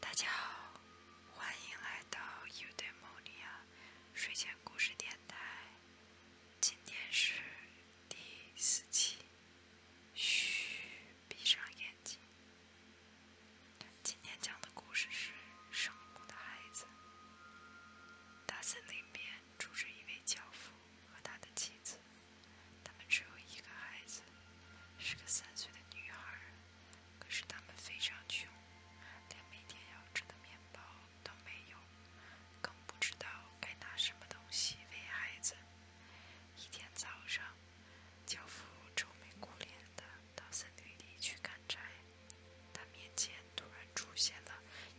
大家好，欢迎来到 Udemonia 睡前故事电台。今天是第四期。嘘，闭上眼睛。今天讲的故事是《生骨的孩子》。大森林边住着一位教父和他的妻子。他们只有一个孩子，是个三岁的女孩。可是他们非常穷，连每天要吃的面包都没有，更不知道该拿什么东西喂孩子。一天早上，樵夫愁眉苦脸的到森林里去砍柴，他面前突然出现了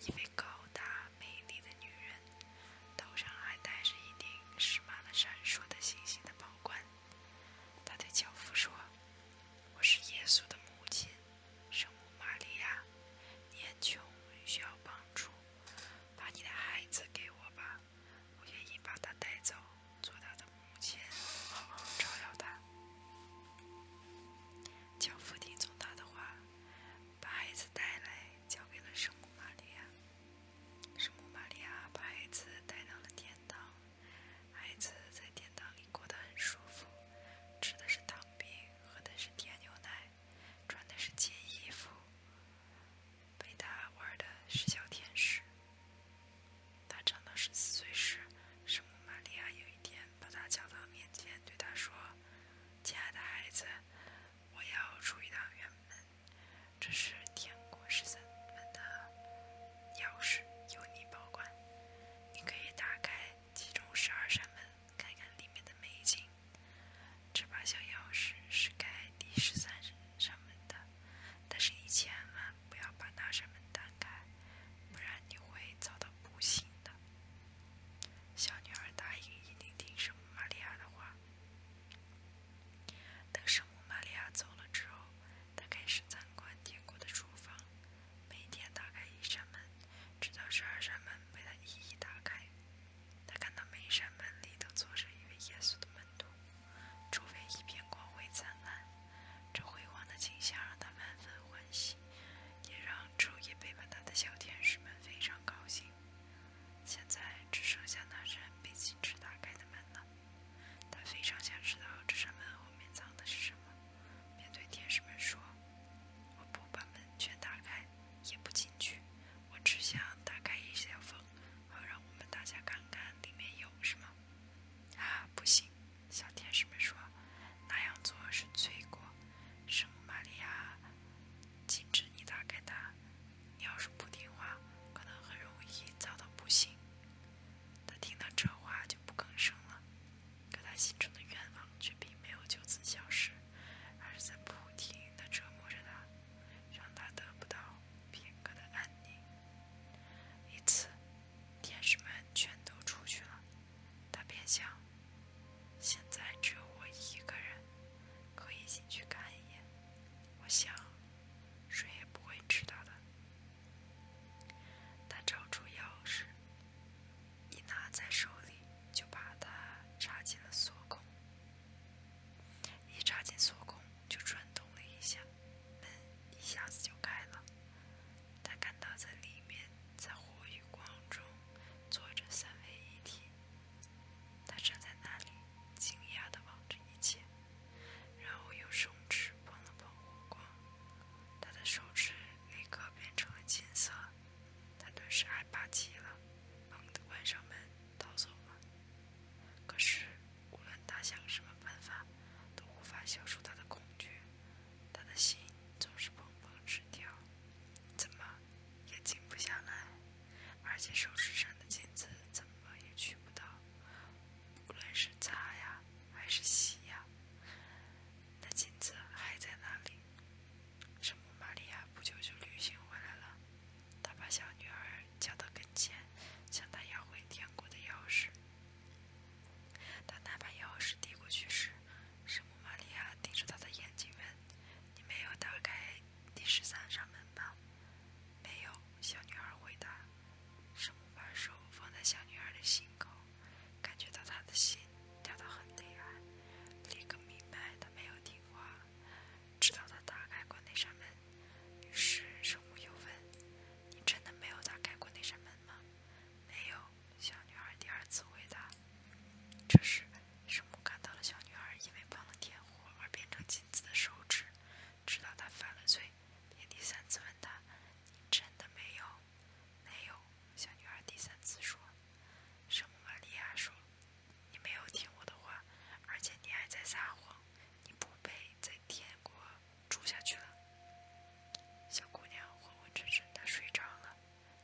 一位高大美丽的女人，头上还戴着一顶饰满了闪烁的星星的宝。关，他对教父说：“我是耶稣的母亲，圣母玛利亚，年穷，需要帮助，把你的孩子给我吧，我愿意把他带走，做他的母亲，好好照耀他。”教父听从他的话，把孩子带来，交给了圣母玛利亚。圣母玛利亚把孩子带到了天堂，孩子在天堂里过得很舒服，吃的是糖饼，喝的是甜牛奶，穿的是金衣服，陪他玩的是小天使。他长到十四岁时，圣母玛利亚有一天把他叫到面前，对他说：“亲爱的孩子，我要出一趟远门。”这是天国十三门的钥匙，由你保管。你可以打开其中十二扇门，看看里面的美景。这把小钥匙是开第十三扇门的，但是你千万不要把那扇门打开，不然你会遭到不幸的。小女儿答应一定听圣玛利亚的话。等圣母玛利亚走了之后，他开始参观天国的厨房，每天打开一扇门，直到十二扇门被他一一打开。他看到每一扇门里都坐着一位耶稣的门徒，周围一片光辉灿烂。这辉煌的景象让他万分欢喜，也让昼夜陪伴他的小天使们非常高兴。现在只剩下那扇被禁止打开的门了。他非常想知道这扇门后面藏的是什么，便对天使们说：“我不把门全打开，也不进去，我只想打开一小缝，好让我们大家看看里面有什么。”啊，不行！小天使们说：“那样做是罪过。”圣母玛利亚，禁止你打开它。你要是不听话，可能很容易遭到不幸。他听到这话就不吭声了，可他心中的愿望却并没有就此消失，而是在不停的折磨着他，让他得不到片刻的安宁。一次，天使们全都出去了，他便想：现在只有我一个人，可以进去看一眼。我想。谁也不会知道的。他找出钥匙，一拿在手里，就把它插进了锁孔。一插进锁孔，就转动了一下，门一下子就开了。他看到在里面，在火与光中坐着三位一体。他站在那里，惊讶地望着一切，然后用手指碰了碰火光，他的手指立刻变成了金色。他顿时害怕极了，猛地关上门，逃走了。可是无论他想什么办法，都无法消除他的恐惧，他的心总是怦怦直跳，怎么也静不下来。而且手指上的金子怎么也取不到，无论是擦呀还是洗呀，那金子还在那里？圣母玛利亚不久就旅行回来了，她把小女儿叫到跟前，向她要回天国的钥匙。当她把钥匙递过去时，圣母玛利亚盯着她的眼睛问：“你没有打开？”第十三扇门吧？没有，小女孩回答。圣母把手放在小女孩的心口，感觉到她的心跳得很厉害，立刻明白她没有听话，直到她打开过那扇门。于是圣母又问：“你真的没有打开过那扇门吗？”没有，小女孩第二次回答。这时，圣母看到了小女孩因为帮了天火而变成。子的手指，直到他犯了罪，便第三次问他：“你真的没有？没有？”小女孩第三次说：“圣母玛利亚说，你没有听我的话，而且你还在撒谎，你不配在天国住下去了。”小姑娘昏昏沉沉的睡着了。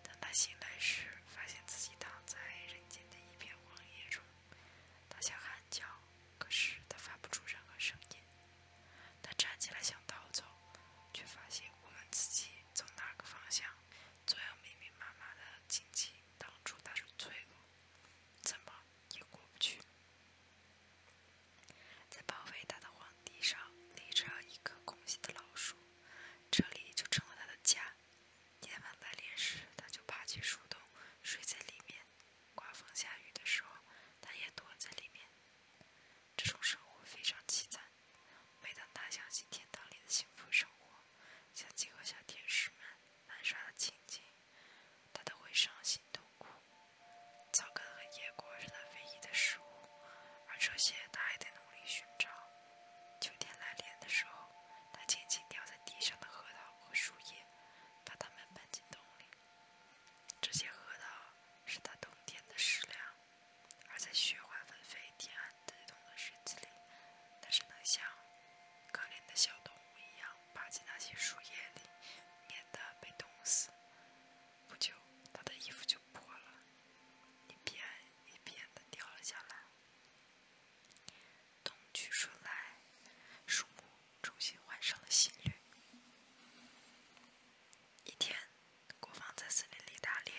等她醒来时，发现自己躺在人间的一片荒野中。他想喊叫，可是他发不出任何声音。他站起来想逃走，却发现我们自己从哪个方向，总有密密麻麻的荆棘挡住他的脆弱，怎么也过不去。在包围他的荒地上，立着一棵空心的老树，这里就成了他的家。夜晚来临时，他就爬进树洞，睡在里面。刮风下雨的时候，他也躲在里面。这种生活非常凄惨。每当他想起天堂里的幸福生活，想起和小天使们玩耍的情景，他都会伤心痛哭。草根和野果是他唯一的食物，而这些他还得努力寻找。秋天来临的时候，他轻轻掉在地上的核桃。和树叶，把它们搬进洞里。这些核桃是他冬天的食粮，而在雪花纷飞、天寒地冻的日子里，它只能像可怜的小动物一样，爬进那些树叶里，免得被冻死。不久，他的衣服就破了，一片一片地掉了下来。冬去春来，树木重新换上了新绿。一天，国王在森林里打猎，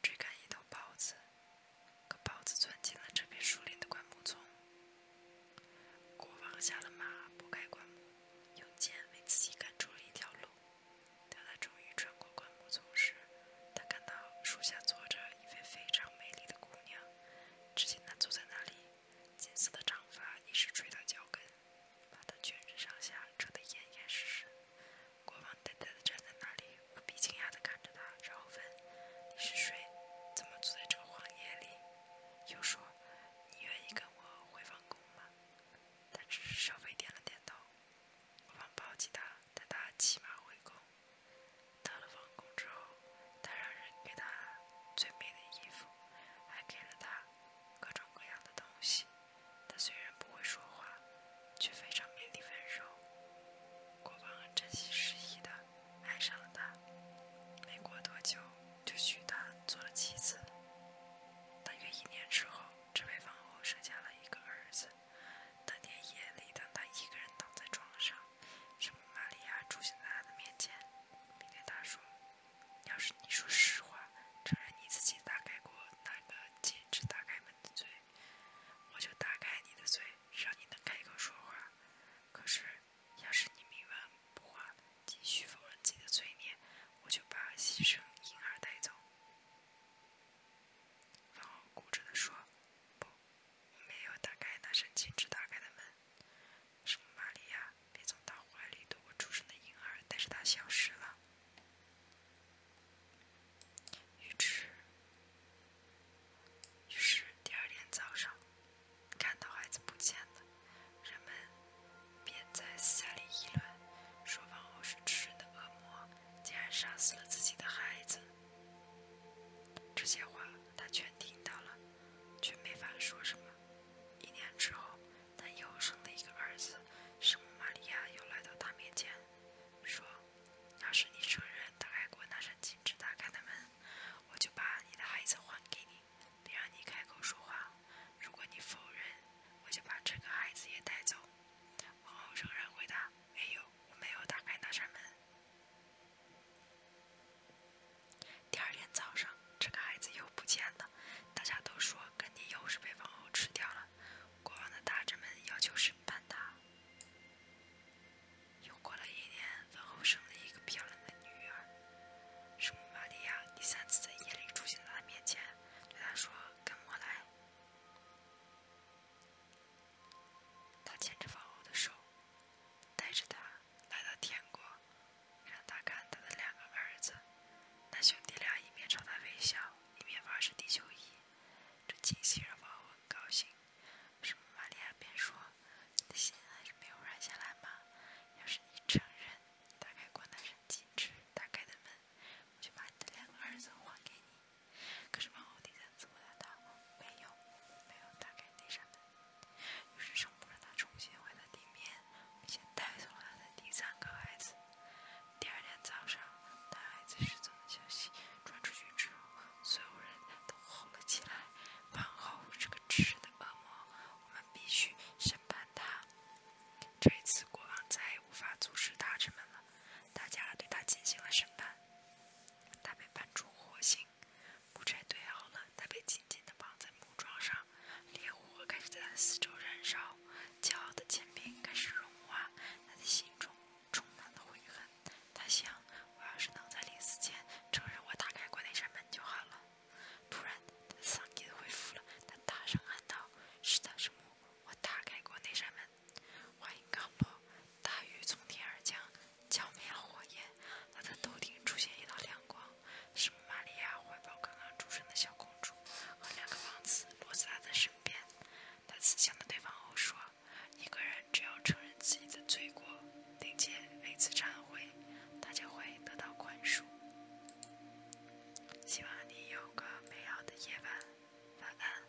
追赶一头豹子，可豹子钻进了这片树林的灌木丛。国王下了马，拨开灌木，用剑为自己赶出了一条路。当他终于穿过灌木丛时，他看到树下坐着一位非常美丽的姑娘。只见他坐在那里，金色的长发一直垂到脚跟，把他全身上下遮得严严实实。国王呆呆地站在那里，无比惊讶地看着他，然后问：“你是谁？怎么坐在这荒野里？”又说：“你愿意跟我回王宫吗？”他只是稍微点了点头。国王抱起他，带他骑马回宫。到了王宫之后，他让人给他最美的衣服，还给了他各种各样的东西。他虽然不会说话，却非常美丽温柔。国王很真心实意的爱上了他，没过多久就娶她做了妻子。大约一年之后，这位皇后生下了一个儿子。当天夜里，当他一个人躺在床上，圣玛利亚出现在他的面前，并对他说：“要是你说实话，承认你自己打开过那个禁止打开门的嘴，我就打开你的嘴，让你能开口说话。可是，要是你冥顽不化，继续否认自己的罪孽，我就把牺牲婴儿带走。”然后固执地说：“不。”我没有打开那扇禁止打开的门。什玛利亚，便从他怀里夺过出生的婴儿，但是他消失了。于是，于是第二天早上，看到孩子不见了，人们便在私下里议论，说王后是吃人的恶魔，竟然杀死了自己的孩子。这些话他全听到了，却没法说什么。一年之后，他又生了一个儿子，圣母玛利亚又来到他面前，说：“要是你承认打开过那扇禁止打开的门，我就把你的孩子还给你，并让你开口说话；如果你否认，我就把这个孩子也带走。”王后承然回答：“没有，我没有打开那扇门。”第二天早上，这个孩子又不见了，大家都说肯定又是被王后吃掉了。国王的大臣们要求审判他。又过了一年，王后生了一个漂亮的女儿，圣母玛利亚。第三次在夜里出现在他面前，对他说：“跟我来。”他牵着王后的手，带着她来到天国，让她看他的两个儿子。那兄弟俩一面朝他微笑，一面发射地球仪。这惊喜让王后很高兴。么？玛利亚便说：“你的心还是没有软下来吗？要是你承认，打开光大神禁止打开的门，我就把你的两个儿子还给你。”可是王后第三次回答没有，没有打开那扇门。于是圣父让他重新回到地面，并且带走了他的第三个孩子。第二天早上，她孩子失踪的消息传出去之后，所有人都红了起来。王后是个吃的恶魔，我们必须审判她。这一次国王再也无法阻止大臣们了，大家对他进行了审判。他被搬出火星，木柴堆好了，他被紧紧的绑在木桩上。烈火开始在他四周燃烧，骄傲的坚冰开始融化。他的心中充满了悔恨。他想，我要是能在临死前承认我打开过那扇门就好了。突然，他的嗓音恢复了，他大声喊道：“是的，是木，我打开过那扇门。”话音刚落，大雨从天而降，浇灭了火焰。她的头顶出现一道亮光，圣玛利亚怀抱刚刚出生的小公主，和两个王子落在她的身边。她慈祥的对王后说：“一个人只要承认自己的罪过，并且每次忏悔，她就会得到宽恕。”希望你有个美好的夜晚，晚安。